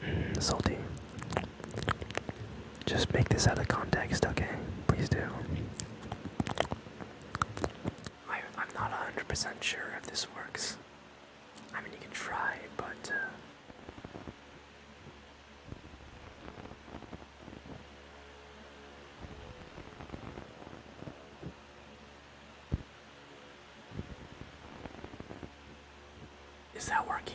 Mm, salty. Just make this out of context, okay? Please do. I, am not 100% sure if this works. I mean, you can try, but. Uh, is that working?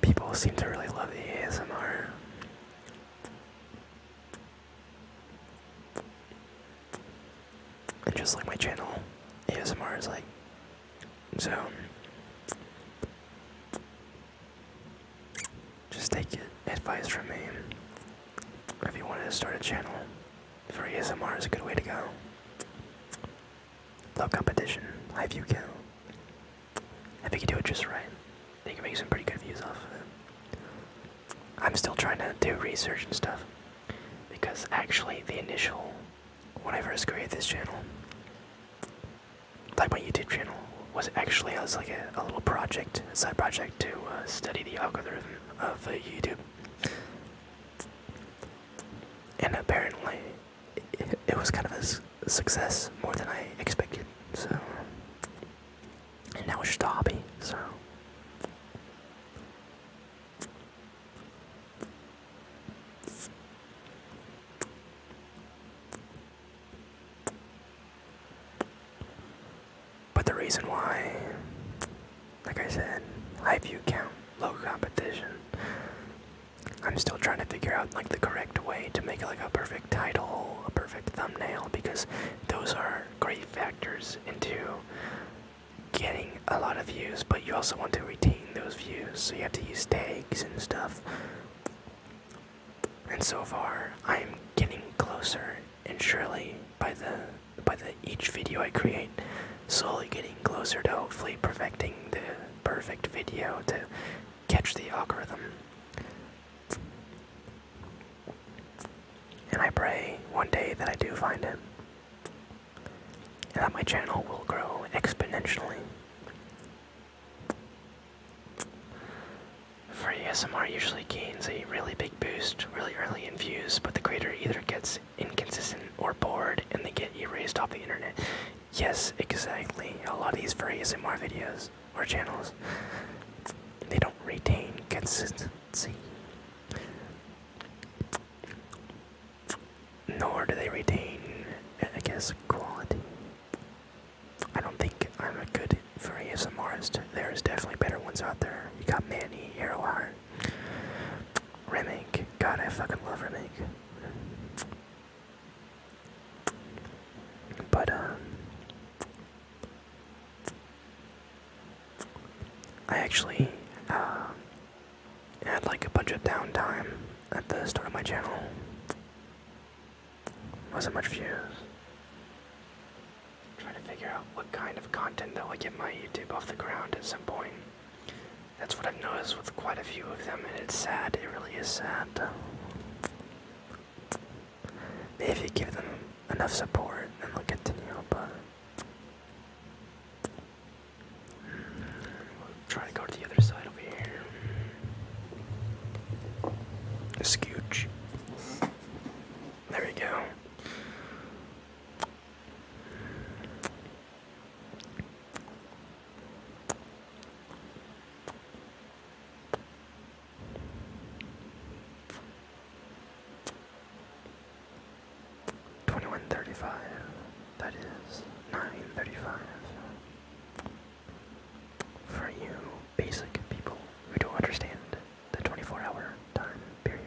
People seem to really love the ASMR. And just like my channel, ASMR is like. So. Just take your advice from me. If you wanted to start a channel for ASMR, is a good way to go. Low competition. High view count. If you can do it just right. I can make some pretty good views off of it. I'm still trying to do research and stuff. Because actually the initial when I first created this channel like my YouTube channel was actually I was like a, little project, a side project to uh, study the algorithm of uh, YouTube. And apparently it, was kind of a success more than I expected. So, and that was just a hobby. So. But the reason why, like I said, high view count, low competition, I'm still trying to figure out like the correct way to make like a perfect title, a perfect thumbnail, because those are great factors into getting a lot of views, but you also want to retain those views, so you have to use tags and stuff. And so far, I'm getting closer, and surely by the by the each video I create, slowly getting closer to hopefully perfecting the perfect video to catch the algorithm. And I pray one day that I do find it. And that my channel will grow exponentially. For ASMR usually gains a really big boost really early in views, but the greater either gets inconsistent or bored and they get erased off the internet. Yes, exactly. A lot of these for ASMR videos or channels, they don't retain consistency. Nor do they retain, I guess, quality. I don't think I'm a good for ASMRist. There's definitely better ones out there. You got Manny, Arrowheart, Remake. God, I fucking love Remake. But um, I actually uh, had like a bunch of downtime at the start of my channel. Wasn't much views. Trying to figure out what kind of content that would get my YouTube off the ground at some point. That's what I've noticed with quite a few of them, and it's sad. It really is sad. Maybe you give them enough support, then they'll continue. But we'll hmm, try to go to the other side over here. Scooch. There we go. Twenty-one thirty-five. That is nine thirty-five. For you basic people who don't understand the twenty-four hour time period.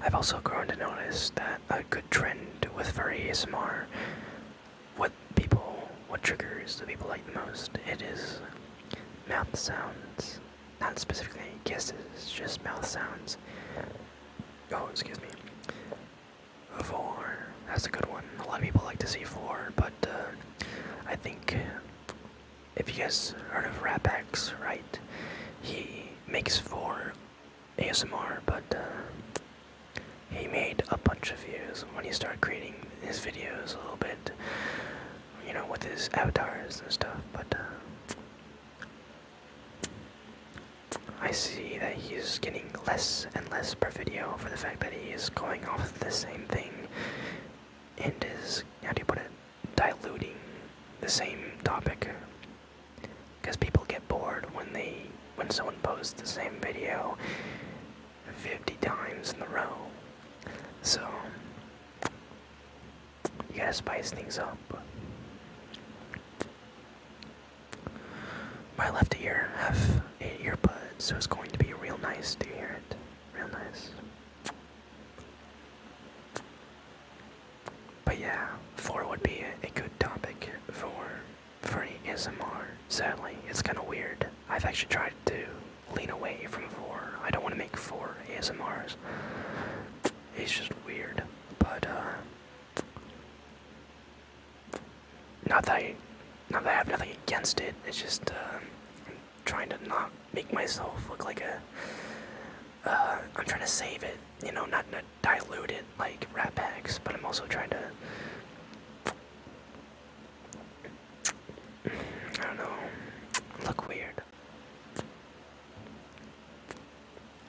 I've also grown to notice that a good trend with for ASMR, what people, what triggers the people like the most, it is mouth sounds. Not specifically kisses, just mouth sounds. Oh, excuse me four. That's a good one. A lot of people like to see four, but uh, I think if you guys heard of RapX, right? He makes four ASMR, but uh, he made a bunch of views when he started creating his videos a little bit, you know, with his avatars and stuff. But uh, I see that he's getting less and less per video for the fact that he is going off the same thing and is, how do you put it, diluting the same topic. Because people get bored when they, when someone posts the same video 50 times in a row. So, you gotta spice things up. My left ear have eight earbuds, so it's going to be real nice to hear it. Real nice. But yeah, four would be a, good topic for free ASMR. Sadly, it's kind of weird. I've actually tried to lean away from four. I don't want to make four ASMRs. It's just weird. But uh, not that I, not that I have nothing against it. It's just I'm um, trying to not make myself look like a. am uh, trying to save it, you know, not, to dilute it like rat packs, but I'm also trying to. I don't know. Look weird.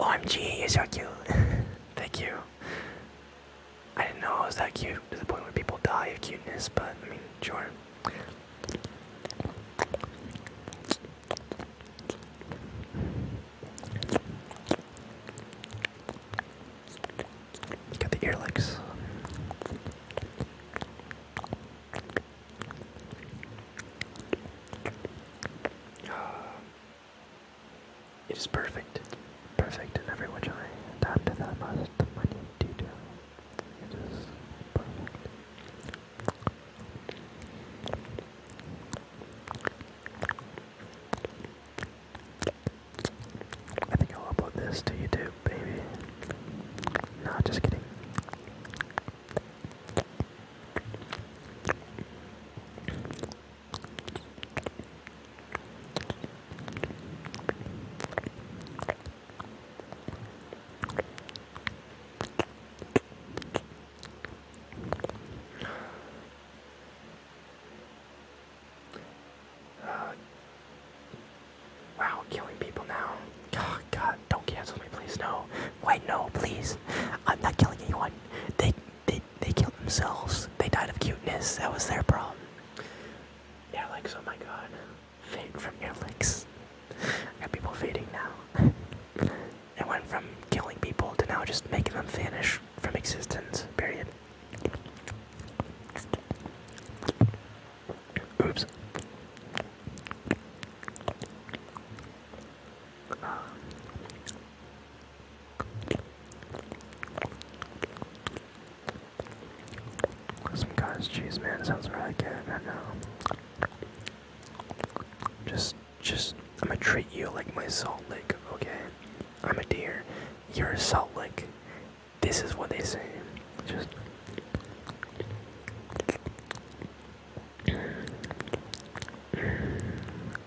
OMG, is are so cute. Thank you. I didn't know I was that cute to the point where people die of cuteness, but I mean, sure. Got the ear it is perfect, perfect in every which way, down to the most minute I think I'll upload this to YouTube, baby. Nah, just kidding. Uh, wow, killing people now. Oh, God, don't cancel me, please. No. Wait, no, please. I'm not killing anyone. They they, they killed themselves. They died of cuteness. That was their problem. Airlicks, oh my god. Fade from airlicks. I got people fading now. it went from killing people to now just making them vanish from existence, period. Oops. Some cottage cheese, man, sounds really I know. Just, just, I'm gonna treat you like my salt lick, okay? I'm a deer. You're a salt lick. This is what they say. Just.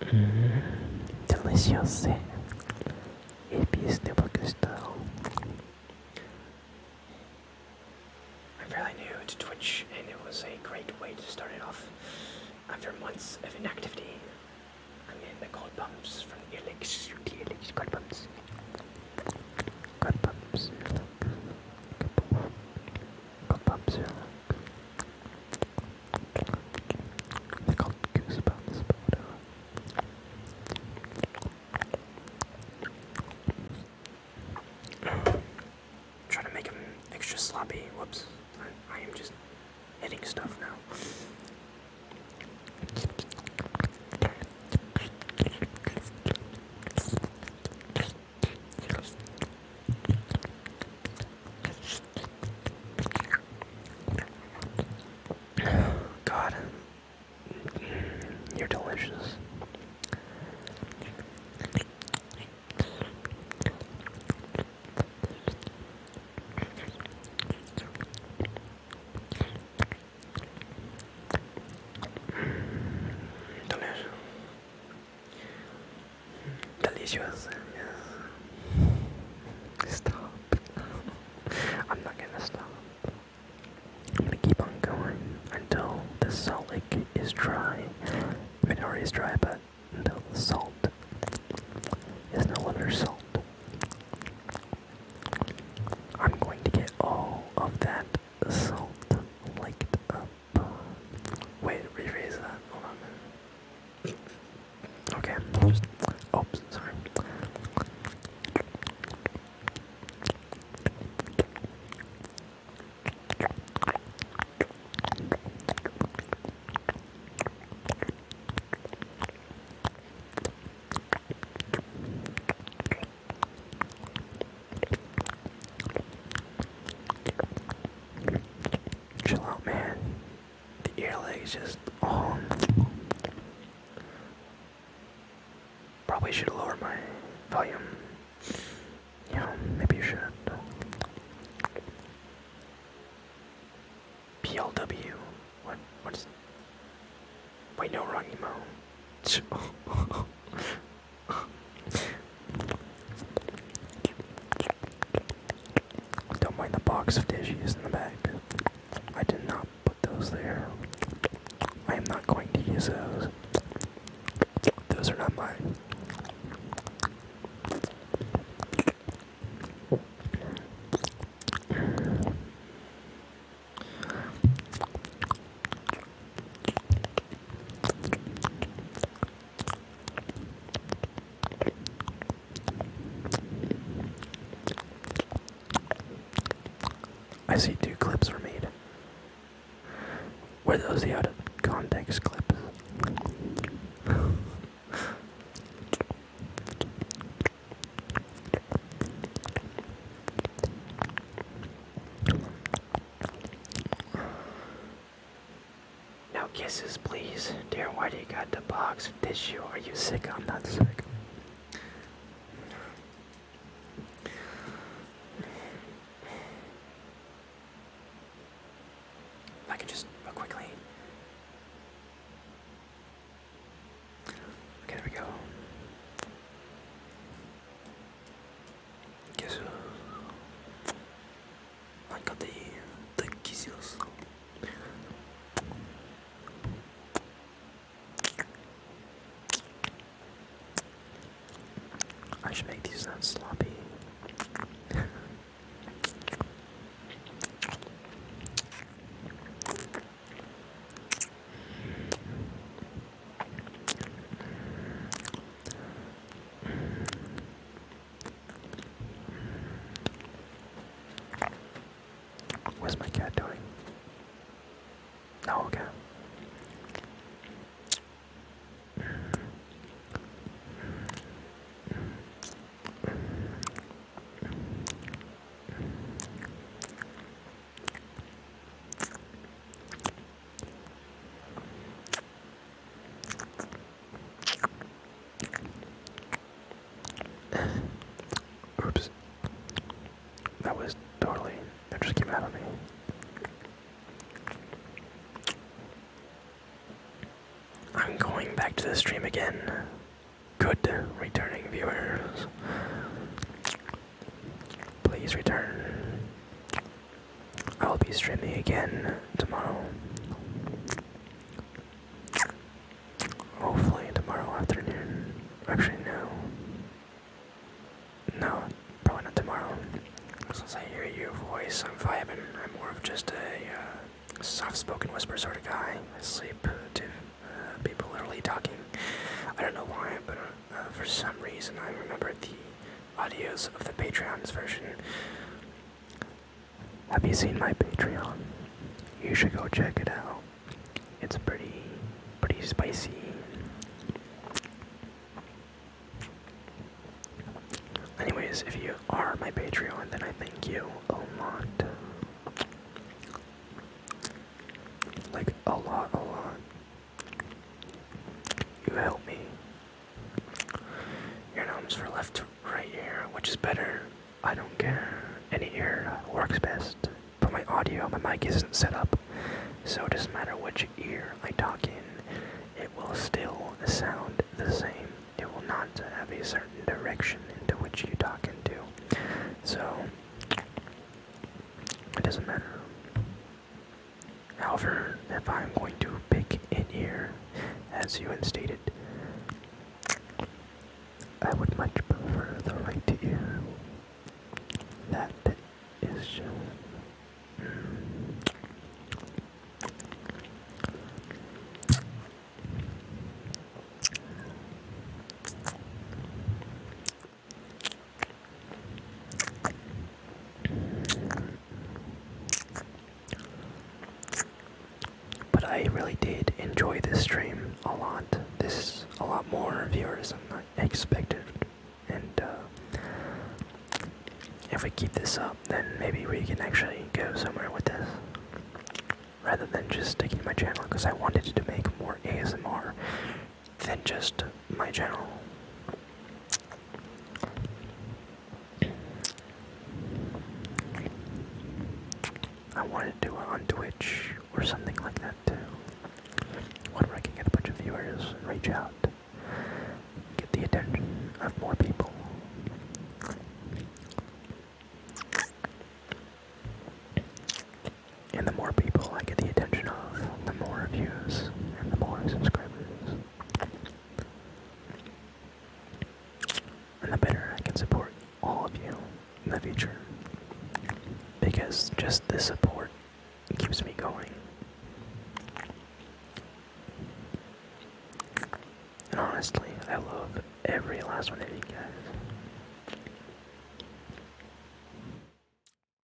Mm, deliciose. AP's Nubacustal. I'm fairly new to Twitch, and it was a great way to start it off. After months of inactivity, I'm getting the cold bumps from the Elix, the Elix Cold bumps. Cold bumps. Cold bumps they to make them extra sloppy. Whoops. I am just hitting stuff now. God, you're delicious. Delicious. Delicious. Stop. I'm not gonna stop. I'm gonna keep on going until the salt lake is dry. I mean, is dry, but until the salt is no longer salt. I'm going to get all of that salt licked up. Wait, rephrase that. Hold on Okay, Oops, sorry. Chill out, man. The earlegs just on. Probably should lower my volume. Yeah, maybe you should. PLW. What? What's? Wait, no, wrong emo. Don't mind the box of tissues in the back. I did not put those there. I am not going to use those. Those are not mine. I see two clips were made. Were those the out of context clips? No kisses, please. Dear, why do you got the box of tissue? Are you sick? I'm not sick. I can just uh, quickly. Okay, there we go. 계속 아까 내일 기지였어 I should make these sound sloppy. What's my cat doing? Oh, okay. Oops. That was totally, that just came out of me. I'm going back to the stream again. Good returning viewers. Please return. I will be streaming again tomorrow. Hopefully tomorrow afternoon. Actually, no. No, probably not tomorrow. Since I hear your voice, I'm vibing. I'm more of just a uh, soft-spoken whisper sort of guy. I sleep to uh, people literally talking. I don't know why, but uh, uh, for some reason I remember the audios of the Patreon's version. Have you seen my Patreon? You should go check it out. It's pretty, pretty spicy. Anyways, if you are my Patreon, then I thank you a lot. Like, a lot, a lot. You help me. Your gnomes for left right ear, which is better. I don't care. Any ear works best. But my audio, my mic isn't set up, so it doesn't matter which ear I talk in, it will still sound the same. It will not have a certain direction into which you talk into. So, it doesn't matter. However, if I'm going to pick in here, as you had stated, I would much prefer the right ear. That is just. But I really did enjoy this stream a lot. This a lot more viewers than I expected. And uh, if we keep this up, then maybe we can actually go somewhere with this. Rather than just sticking to my channel, because I wanted to make more ASMR than just my general. I wanted to do it on Twitch or something like that too. Whenever I can get a bunch of viewers reach out, get the attention of more people. And the more people I get the attention of, the more views and the more subscribers. And the better I can support all of you in the future. Because just this support keeps me going. And honestly, I love every last one of you guys.